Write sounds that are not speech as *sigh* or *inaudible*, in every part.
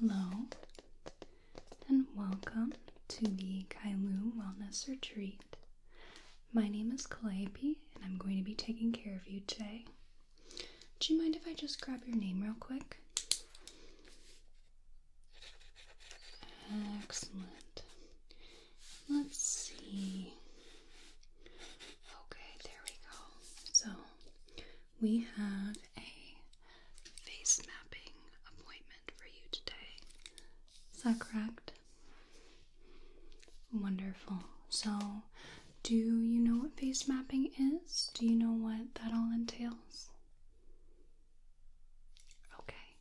Hello and welcome to the Kailu Wellness Retreat. My name is Calliope and I'm going to be taking care of you today. Do you mind if I just grab your name real quick? Excellent. Let's see. Okay, there we go. So we have a face mapping appointment for you today. Is that correct? Wonderful. So, do you know what face mapping is? Do you know what that all entails? Okay.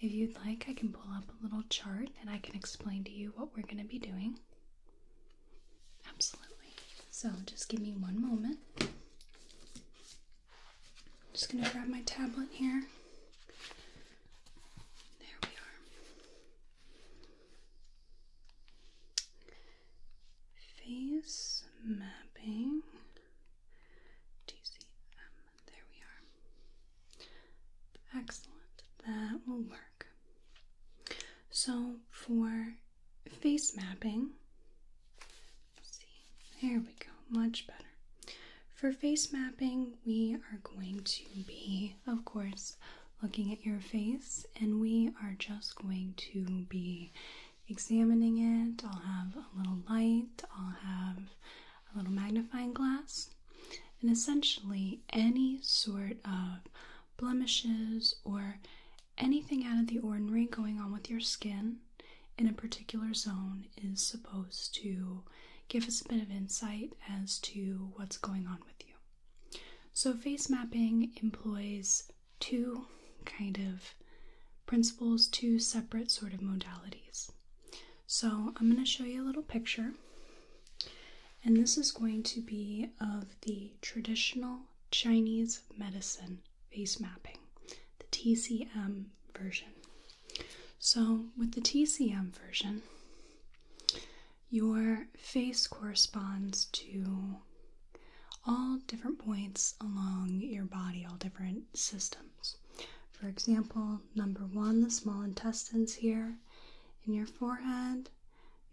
If you'd like, I can pull up a little chart and I can explain to you what we're going to be doing. Absolutely. So just give me one moment. I'm just going to grab my tablet here. There we are. Face mapping. Do um, there we are. Excellent. That will work. So for face mapping, see, there we go, much better. For face mapping, we are going to be, of course, looking at your face, and we are just going to be examining it. I'll have a little light, I'll have a little magnifying glass, and essentially any sort of blemishes or anything out of the ordinary going on with your skin in a particular zone is supposed to give us a bit of insight as to what's going on with you. So, face mapping employs two kind of principles, two separate sort of modalities. So, I'm going to show you a little picture, and this is going to be of the traditional Chinese medicine face mapping, the TCM version. So, with the TCM version, your face corresponds to all different points along your body, all different systems. For example, number one, the small intestines here in your forehead,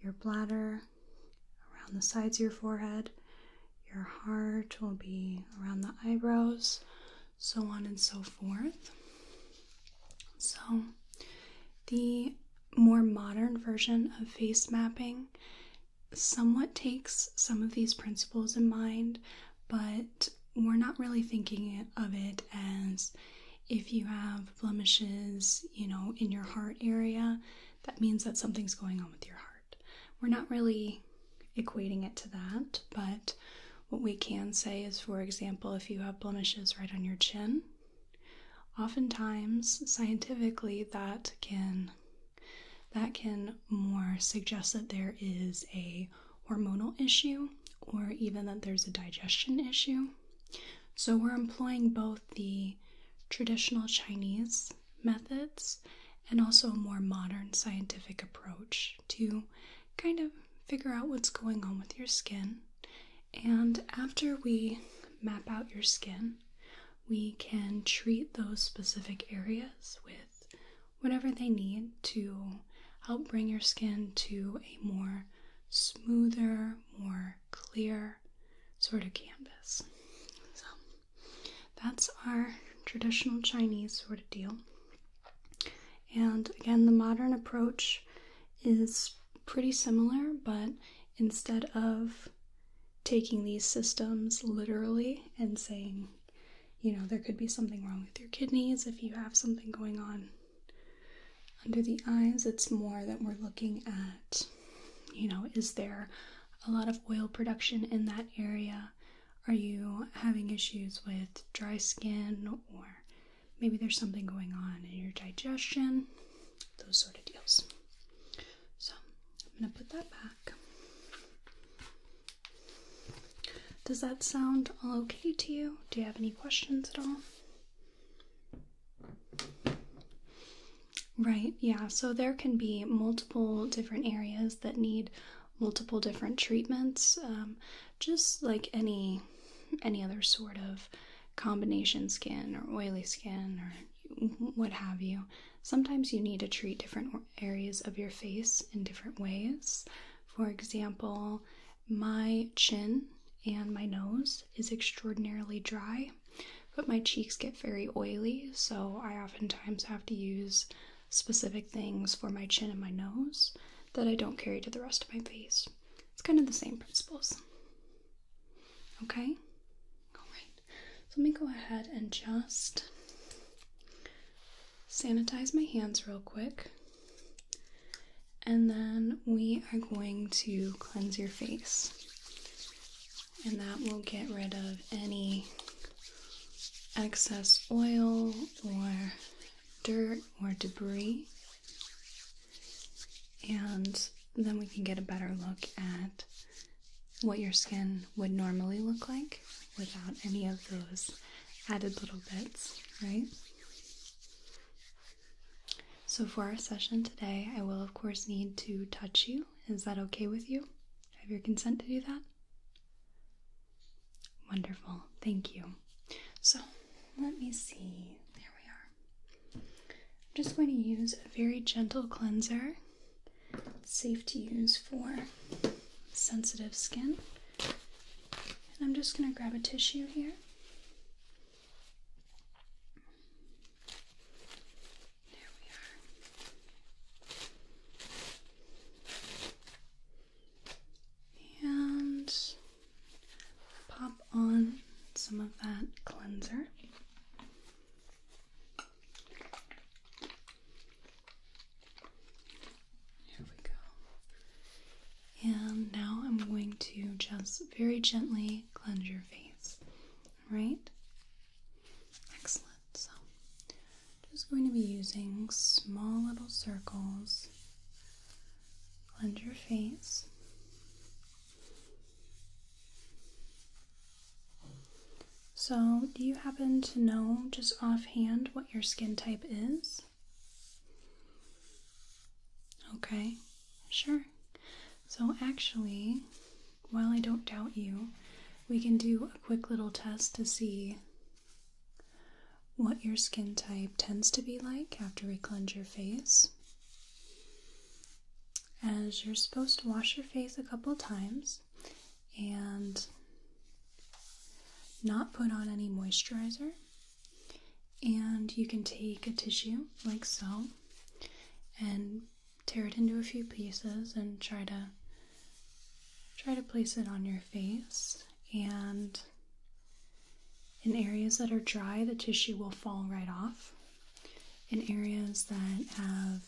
your bladder, around the sides of your forehead, your heart will be around the eyebrows, so on and so forth. So, the more modern version of face mapping somewhat takes some of these principles in mind, but we're not really thinking of it as if you have blemishes, you know, in your heart area, that means that something's going on with your heart. We're not really equating it to that, but what we can say is, for example, if you have blemishes right on your chin, oftentimes scientifically that can that can more suggest that there is a hormonal issue or even that there's a digestion issue. So we're employing both the traditional Chinese methods and also a more modern scientific approach to kind of figure out what's going on with your skin. And after we map out your skin, we can treat those specific areas with whatever they need to help bring your skin to a more smoother, more clear sort of canvas. So that's our traditional Chinese sort of deal. And again, the modern approach is pretty similar, but instead of taking these systems literally and saying you know, there could be something wrong with your kidneys if you have something going on under the eyes. It's more that we're looking at, you know, is there a lot of oil production in that area? Are you having issues with dry skin, or maybe there's something going on in your digestion? Those sort of deals. So I'm going to put that back. Does that sound all okay to you? Do you have any questions at all? Right, yeah, so there can be multiple different areas that need multiple different treatments, um, just like any any other sort of combination skin or oily skin or what have you. Sometimes you need to treat different areas of your face in different ways. For example, my chin and my nose is extraordinarily dry, but my cheeks get very oily, so I oftentimes have to use specific things for my chin and my nose that I don't carry to the rest of my face. It's kind of the same principles. Okay? Alright, so let me go ahead and just sanitize my hands real quick. And then we are going to cleanse your face. And that will get rid of any excess oil or dirt or debris. And then we can get a better look at what your skin would normally look like without any of those added little bits, right? So, for our session today, I will, of course, need to touch you. Is that okay with you? Have your consent to do that? Wonderful, thank you. So, let me see. There we are. I'm just going to use a very gentle cleanser safe to use for sensitive skin. And I'm just going to grab a tissue here. There we are. And pop on some of that cleanser. Here we go. And now I'm going to just very gently cleanse your face. All right? Excellent. So, just going to be using small little circles. Cleanse your face. So, do you happen to know just offhand what your skin type is? Okay, sure. So, actually, while I don't doubt you, we can do a quick little test to see what your skin type tends to be like after we cleanse your face. As you're supposed to wash your face a couple times, and not put on any moisturizer. And you can take a tissue like so and tear it into a few pieces and try to try to place it on your face and in areas that are dry the tissue will fall right off in areas that have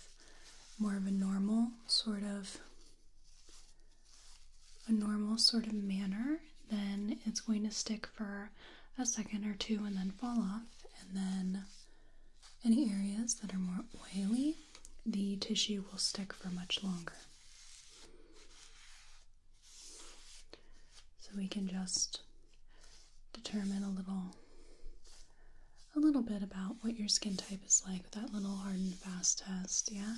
more of a normal sort of a normal sort of manner, then it's going to stick for a second or two and then fall off. And then any areas that are more oily, the tissue will stick for much longer. So we can just determine a little a little bit about what your skin type is like with that little hard and fast test, yeah?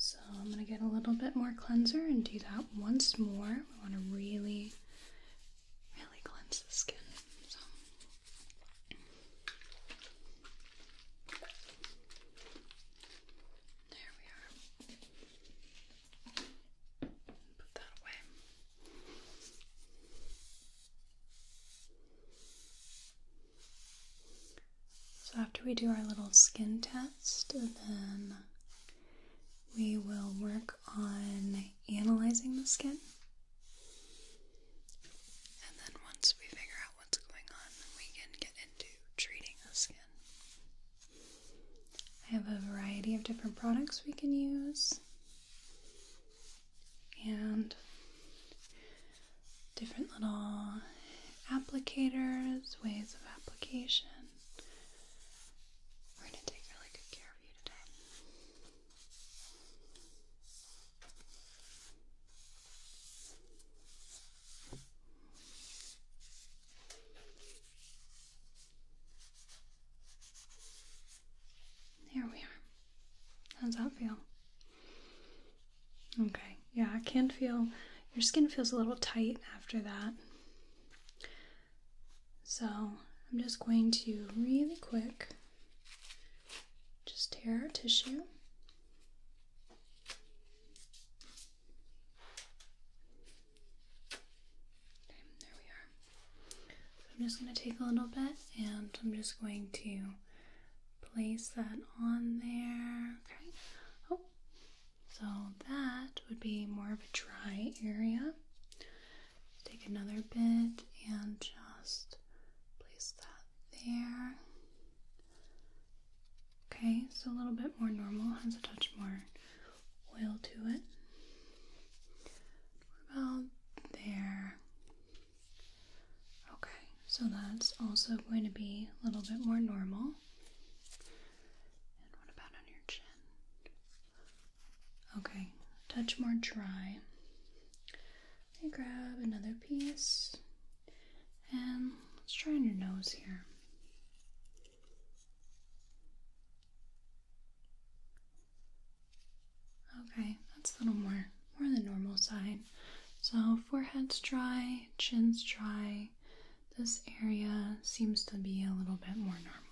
So I'm going to get a little bit more cleanser and do that once more. We want to really, really cleanse the skin. There we are. So, after we do our little skin test, then we will work on analyzing the skin. And then, once we figure out what's going on, we can get into treating the skin. I have a variety of different products we can use and different little applicators, ways of application. We're going to take really good care of you today. Here we are. How's that feel? Okay, yeah, I can feel your skin feels a little tight after that. So I'm just going to really quick just tear our tissue there we are. I'm just going to take a little bit and I'm just going to place that on there. Okay. Oh, so that would be more of a dry area. Take another bit and just place that there. Okay, so a little bit more normal, has a touch more oil to it. What about there? Okay, so that's also going to be a little bit more normal. And what about on your chin? Okay, touch more dry. And grab another piece. And let's try on your nose here. Okay, that's a little more more than normal side. So forehead's dry, chin's dry. This area seems to be a little bit more normal.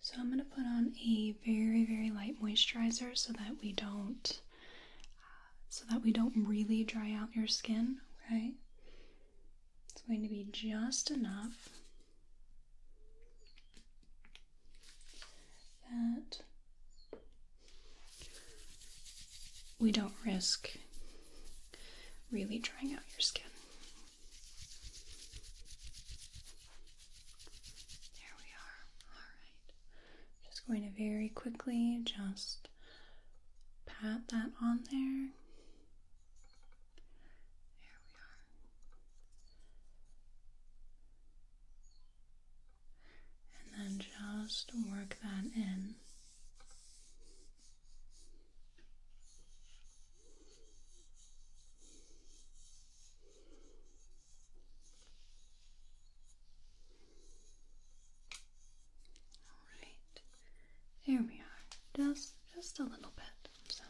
So I'm gonna put on a very very light moisturizer so that we don't so that we don't really dry out your skin, right? It's going to be just enough that we don't risk really drying out your skin. There we are. All right. Just going to very quickly just pat that on there. There we are. And then just work that in. Alright. Here we are. Just just a little bit. So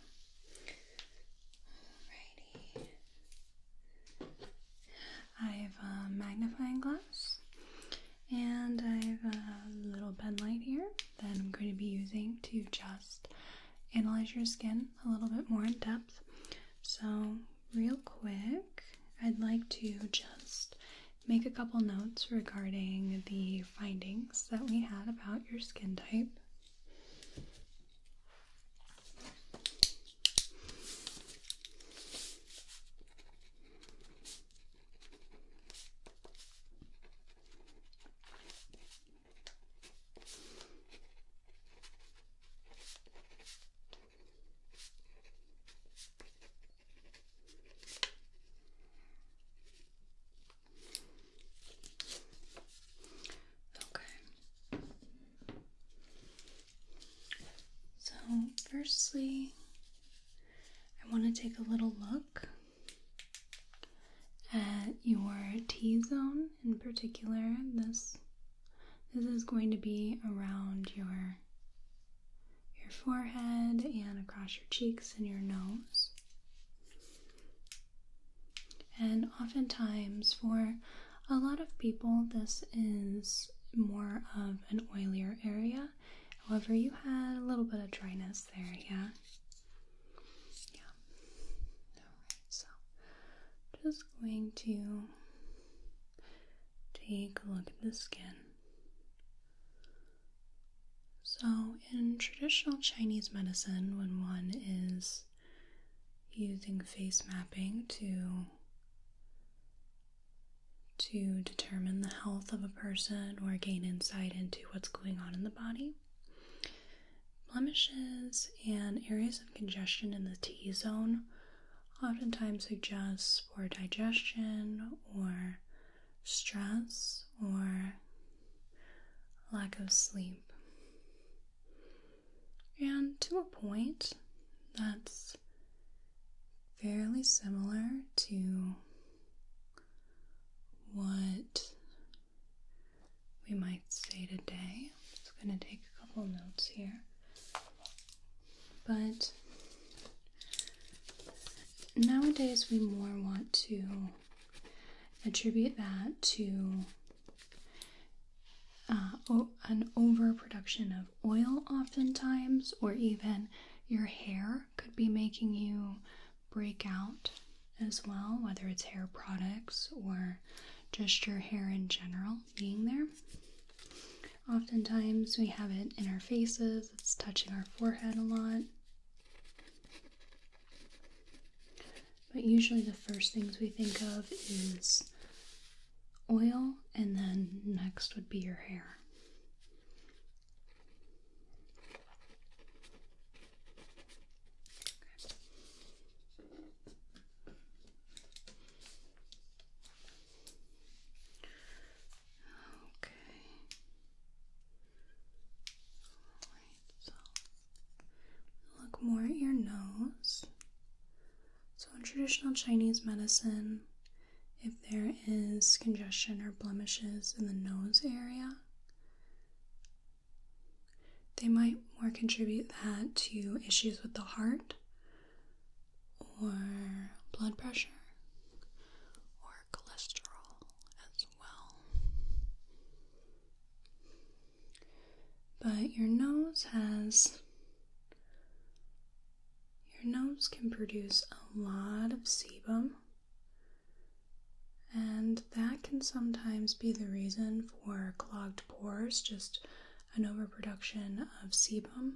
Alrighty. I have a magnifying glass and I have a little bed light here that I'm going to be using to just analyze your skin a little bit more in depth. So, real quick, I'd like to just make a couple notes regarding the findings that we had about your skin type. Okay. So, firstly, I want to take a little look at your T zone in particular. This this is going to be around your your forehead and across your cheeks and your nose. And oftentimes, for a lot of people, this is more of an oilier area. However, you had a little bit of dryness there, yeah? Yeah. Alright, so just going to take a look at the skin. So, in traditional Chinese medicine, when one is using face mapping to to determine the health of a person or gain insight into what's going on in the body. Blemishes and areas of congestion in the T zone oftentimes suggest poor digestion or stress or lack of sleep. And to a point, that's fairly similar to what we might say today. I'm just going to take a couple notes here. But Nowadays, we more want to attribute that to uh, an overproduction of oil, oftentimes, or even your hair could be making you break out as well, whether it's hair products or just your hair in general being there. Oftentimes, we have it in our faces, it's touching our forehead a lot. But usually, the first things we think of is oil, and then next would be your hair. Okay. Alright, so look more at your nose. So, in traditional Chinese medicine, if there is congestion or blemishes in the nose area, they might more contribute that to issues with the heart or blood pressure cholesterol as well. But your nose has. Your nose can produce a lot of sebum, and that can sometimes be the reason for clogged pores, just an overproduction of sebum.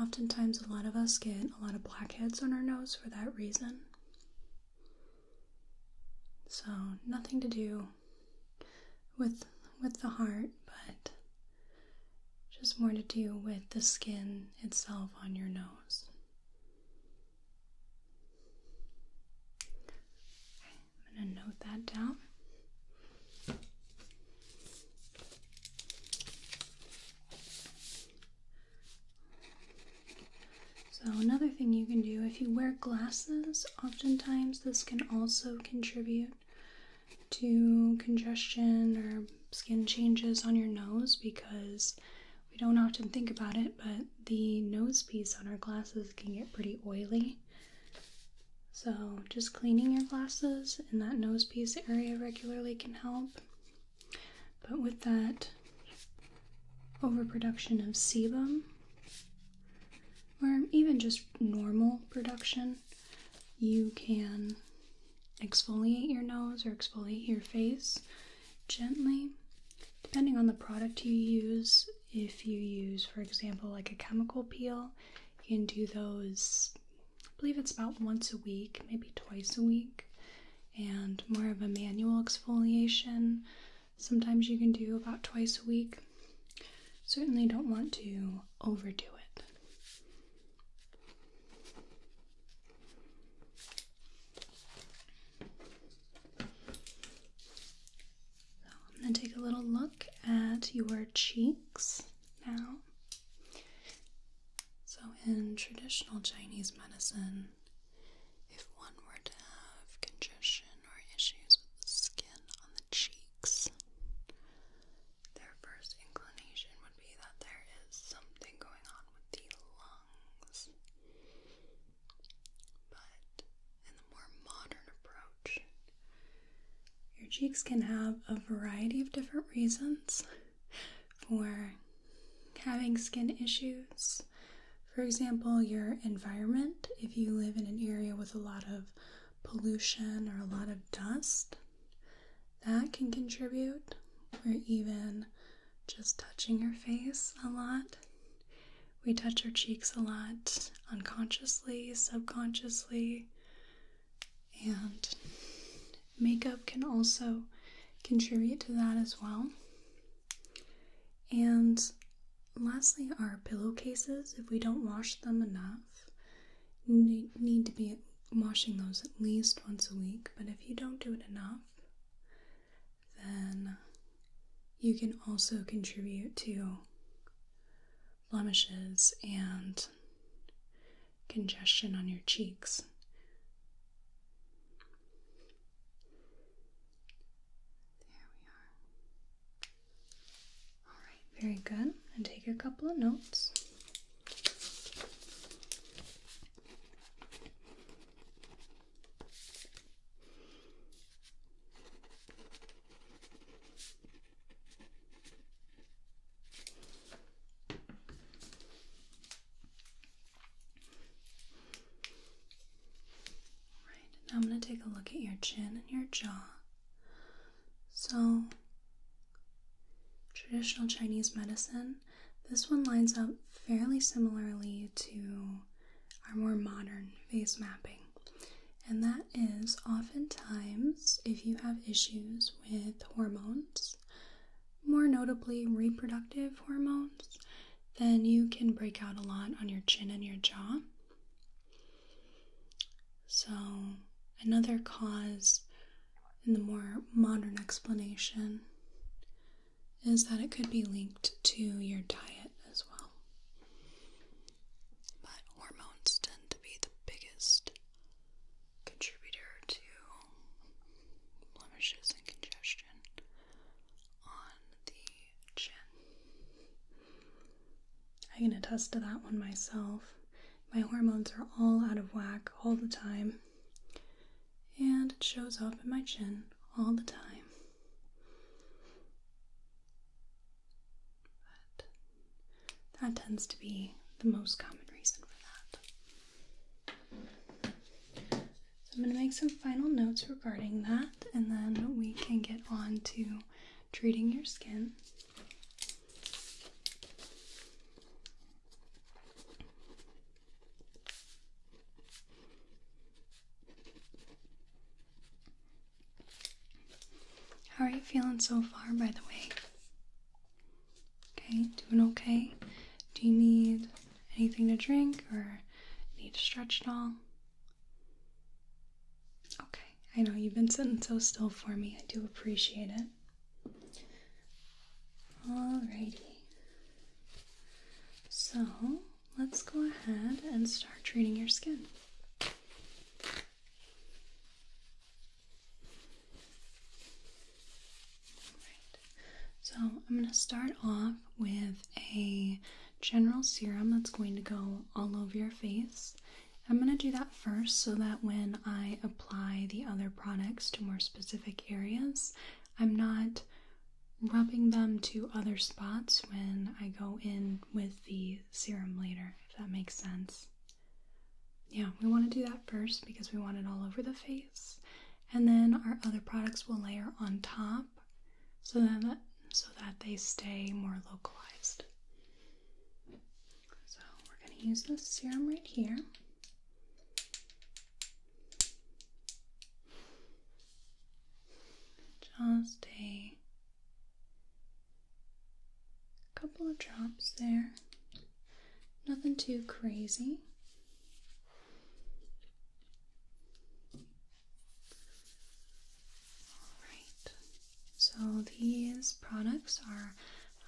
Oftentimes, a lot of us get a lot of blackheads on our nose for that reason. So, nothing to do with with the heart, but just more to do with the skin itself on your nose. I'm going to note that down. So, another thing you can do if you wear glasses, oftentimes this can also contribute to congestion or skin changes on your nose because we don't often think about it, but the nose piece on our glasses can get pretty oily. So, just cleaning your glasses in that nose piece area regularly can help. But with that overproduction of sebum, or even just normal production, you can exfoliate your nose or exfoliate your face gently, depending on the product you use. If you use, for example, like a chemical peel, you can do those I believe it's about once a week, maybe twice a week, and more of a manual exfoliation. Sometimes you can do about twice a week. Certainly don't want to overdo it. So I'm going to take a little look at your cheeks now. So, in traditional Chinese medicine, if one were to have congestion or issues with the skin on the cheeks, their first inclination would be that there is something going on with the lungs. But in the more modern approach, your cheeks can have a variety of different reasons for having skin issues. For example, your environment, if you live in an area with a lot of pollution or a lot of dust, that can contribute, or even just touching your face a lot. We touch our cheeks a lot unconsciously, subconsciously, and makeup can also contribute to that as well. And lastly, our pillowcases, if we don't wash them enough, need to be washing those at least once a week. But if you don't do it enough, then you can also contribute to blemishes and congestion on your cheeks. There we are. All right, very good. And take a couple of notes. Alright, now I'm going to take a look at your chin and your jaw. So, traditional Chinese medicine, this one lines up fairly similarly to our more modern face mapping. And that is oftentimes if you have issues with hormones, more notably reproductive hormones, then you can break out a lot on your chin and your jaw. So, another cause in the more modern explanation is that it could be linked to your diet as well. But hormones tend to be the biggest contributor to blemishes and congestion on the chin. I can attest to that one myself. My hormones are all out of whack all the time, and it shows up in my chin all the time. But that tends to be the most common reason for that. I'm going to make some final notes regarding that, and then we can get on to treating your skin. How are you feeling so far, by the way? Okay, doing okay. Do you need anything to drink or need to stretch at all? Okay, I know you've been sitting so still for me. I do appreciate it. Alrighty. So let's go ahead and start treating your skin so I'm going to start off with a general serum that's going to go all over your face. I'm going to do that first so that when I apply the other products to more specific areas, I'm not rubbing them to other spots when I go in with the serum later, if that makes sense. Yeah, we want to do that first because we want it all over the face and then our other products will layer on top so that so that they stay more localized. So we're going to use this serum right here. Just a couple of drops there. Nothing too crazy. Alright, so these products are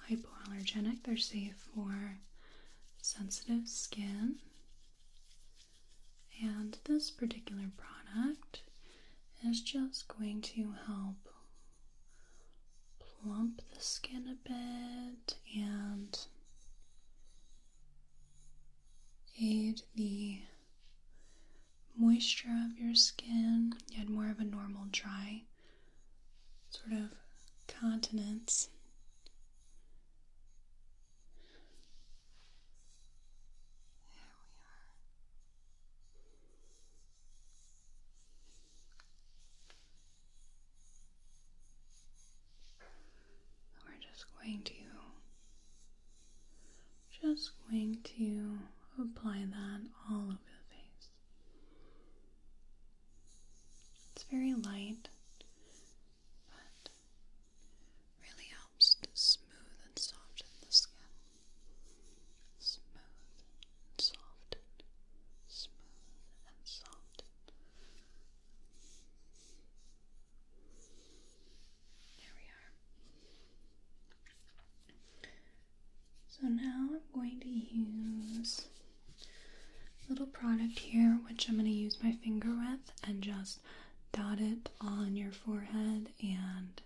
hypoallergenic, they're safe for sensitive skin. And this particular product is just going to help plump the skin a bit and aid the moisture of your skin. You had more of a normal dry sort of continence. There we are we're just going to just going to apply that all over the face. It's very light, but really helps to smooth and soften the skin. Smooth and soften, smooth and soften, there we are. So now I'm going to use a little product here, which I'm going to use my finger with and just dot it on your forehead and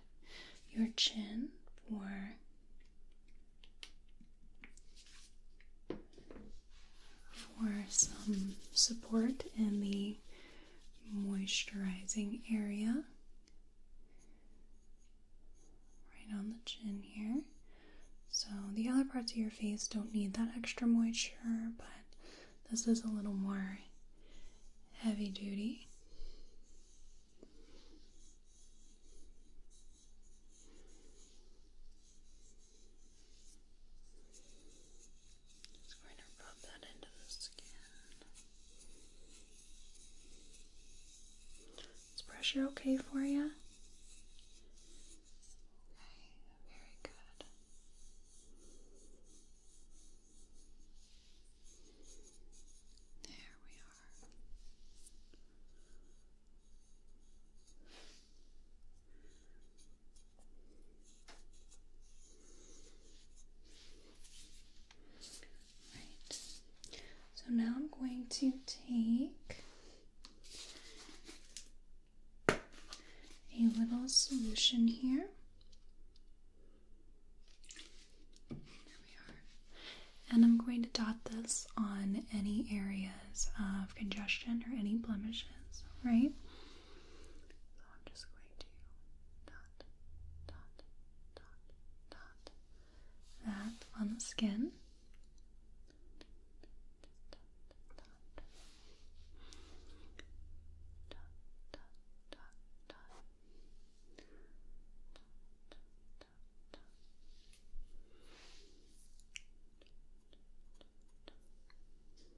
your chin for for some support in the moisturizing area right on the chin here. So, the other parts of your face don't need that extra moisture, but this is a little more heavy duty. Just going to rub that into the skin. Is pressure okay for you? Okay, very good. There we are. Right. So now I'm going to take a little solution here. And I'm going to dot this on any area of congestion or any blemishes, right? So I'm just going to dot, dot, dot, dot that on the skin.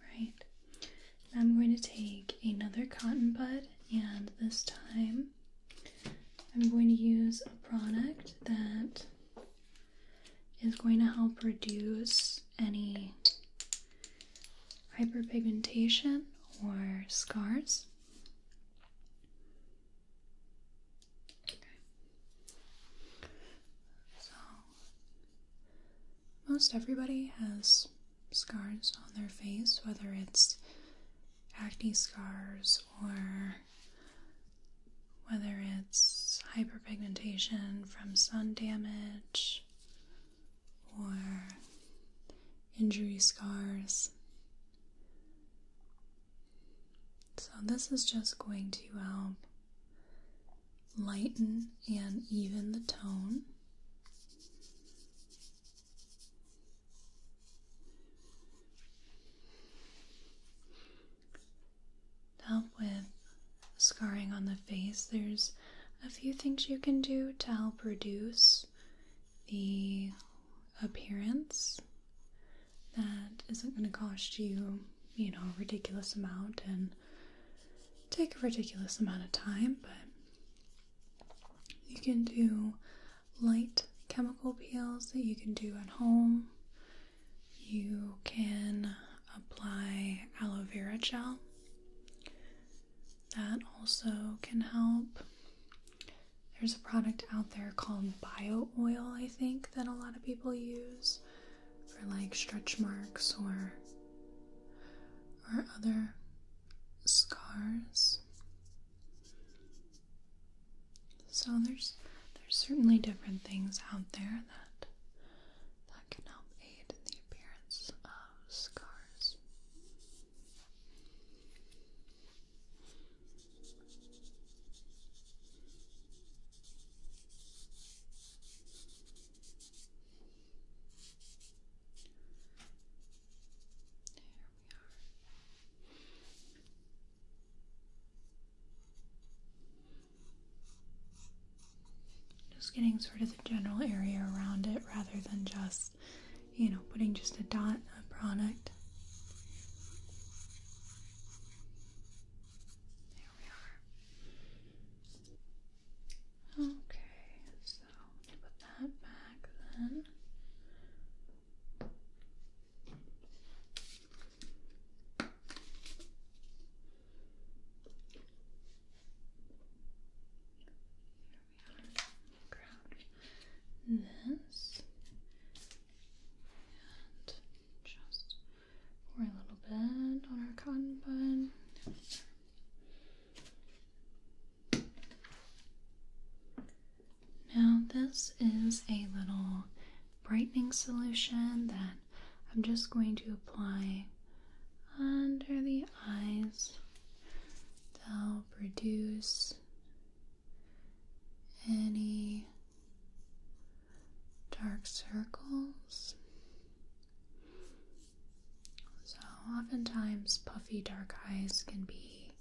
Right. I'm going to take another cotton bud, and this time I'm going to use a product that is going to help reduce any hyperpigmentation or scars. So, most everybody has scars on their face, whether it's acne scars or whether it's hyperpigmentation from sun damage or injury scars. So, this is just going to help lighten and even the tone. help with scarring on the face, there's a few things you can do to help reduce the appearance that isn't going to cost you, you know, a ridiculous amount and take a ridiculous amount of time, but you can do light chemical peels that you can do at home. You can apply aloe vera gel that also can help. There's a product out there called Bio Oil, I think, that a lot of people use for like stretch marks or or other scars. So there's there's certainly different things out there that that can help aid the appearance of love scars. There we are. Just getting sort of the general area around it rather than just, you know, putting just a dot of product. There we are. Okay, so put that back then this and just pour a little bit on our cotton bud. Now, this is a little brightening solution that I'm just going to apply under the eyes they'll reduce any dark circles. So, oftentimes, puffy dark eyes can be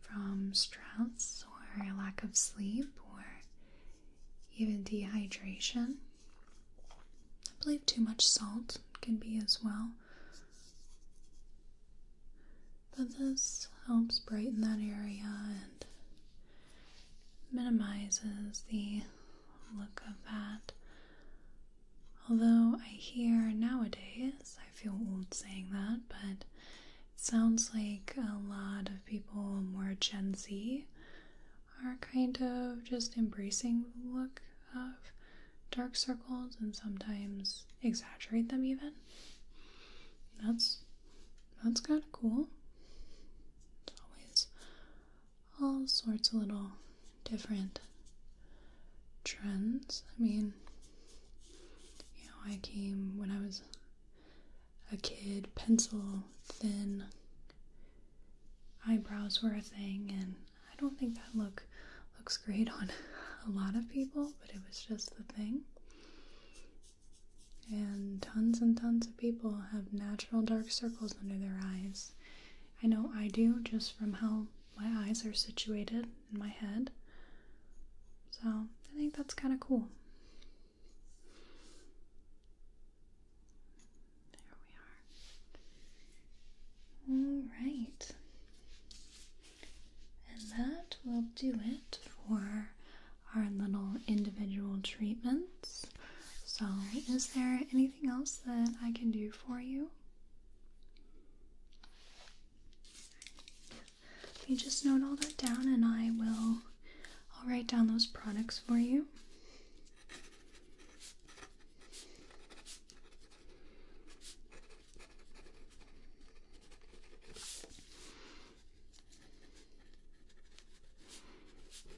from stress or lack of sleep or even dehydration. I believe too much salt can be as well. But this helps brighten that area and minimizes the look of that. Although I hear nowadays, I feel old saying that, but it sounds like a lot of people more Gen Z are kind of just embracing the look of dark circles and sometimes exaggerate them even. That's that's kind of cool. It's always all sorts of little different trends. I mean, you know, I came when I was a kid, pencil thin eyebrows were a thing, and I don't think that look looks great on *laughs* a lot of people, but it was just the thing. And tons and tons of people have natural dark circles under their eyes. I know I do just from how my eyes are situated in my head. So I think that's kind of cool. There we are. All right. And that will do it for our little individual treatments. So, is there anything else that I can do for you? You just note all that down, and I will. I'll write down those products for you. Okay, so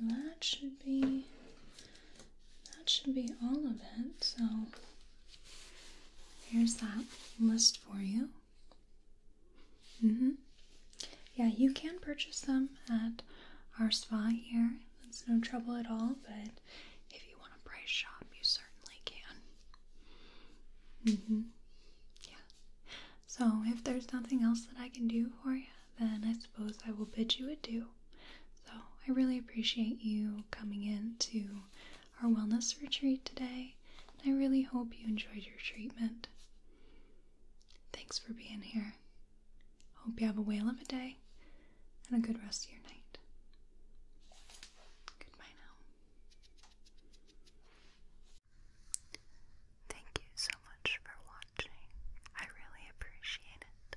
that should be that should be all of it. So Here's that list for you. Mm-hmm. Yeah, you can purchase them at our spa here. That's no trouble at all, but if you want a price shop, you certainly can. Mm-hmm. Yeah. So if there's nothing else that I can do for you, then I suppose I will bid you adieu. So I really appreciate you coming in to our wellness retreat today. I really hope you enjoyed your treatment. Thanks for being here. Hope you have a whale of a day and a good rest of your night. Goodbye now. Thank you so much for watching. I really appreciate it.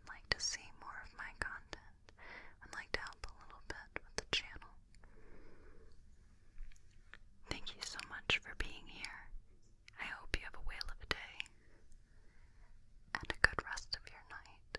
would like to see more of my content Would like to help a little bit with the channel. Thank you so much for being here. I hope you have a whale of a day and a good rest of your night.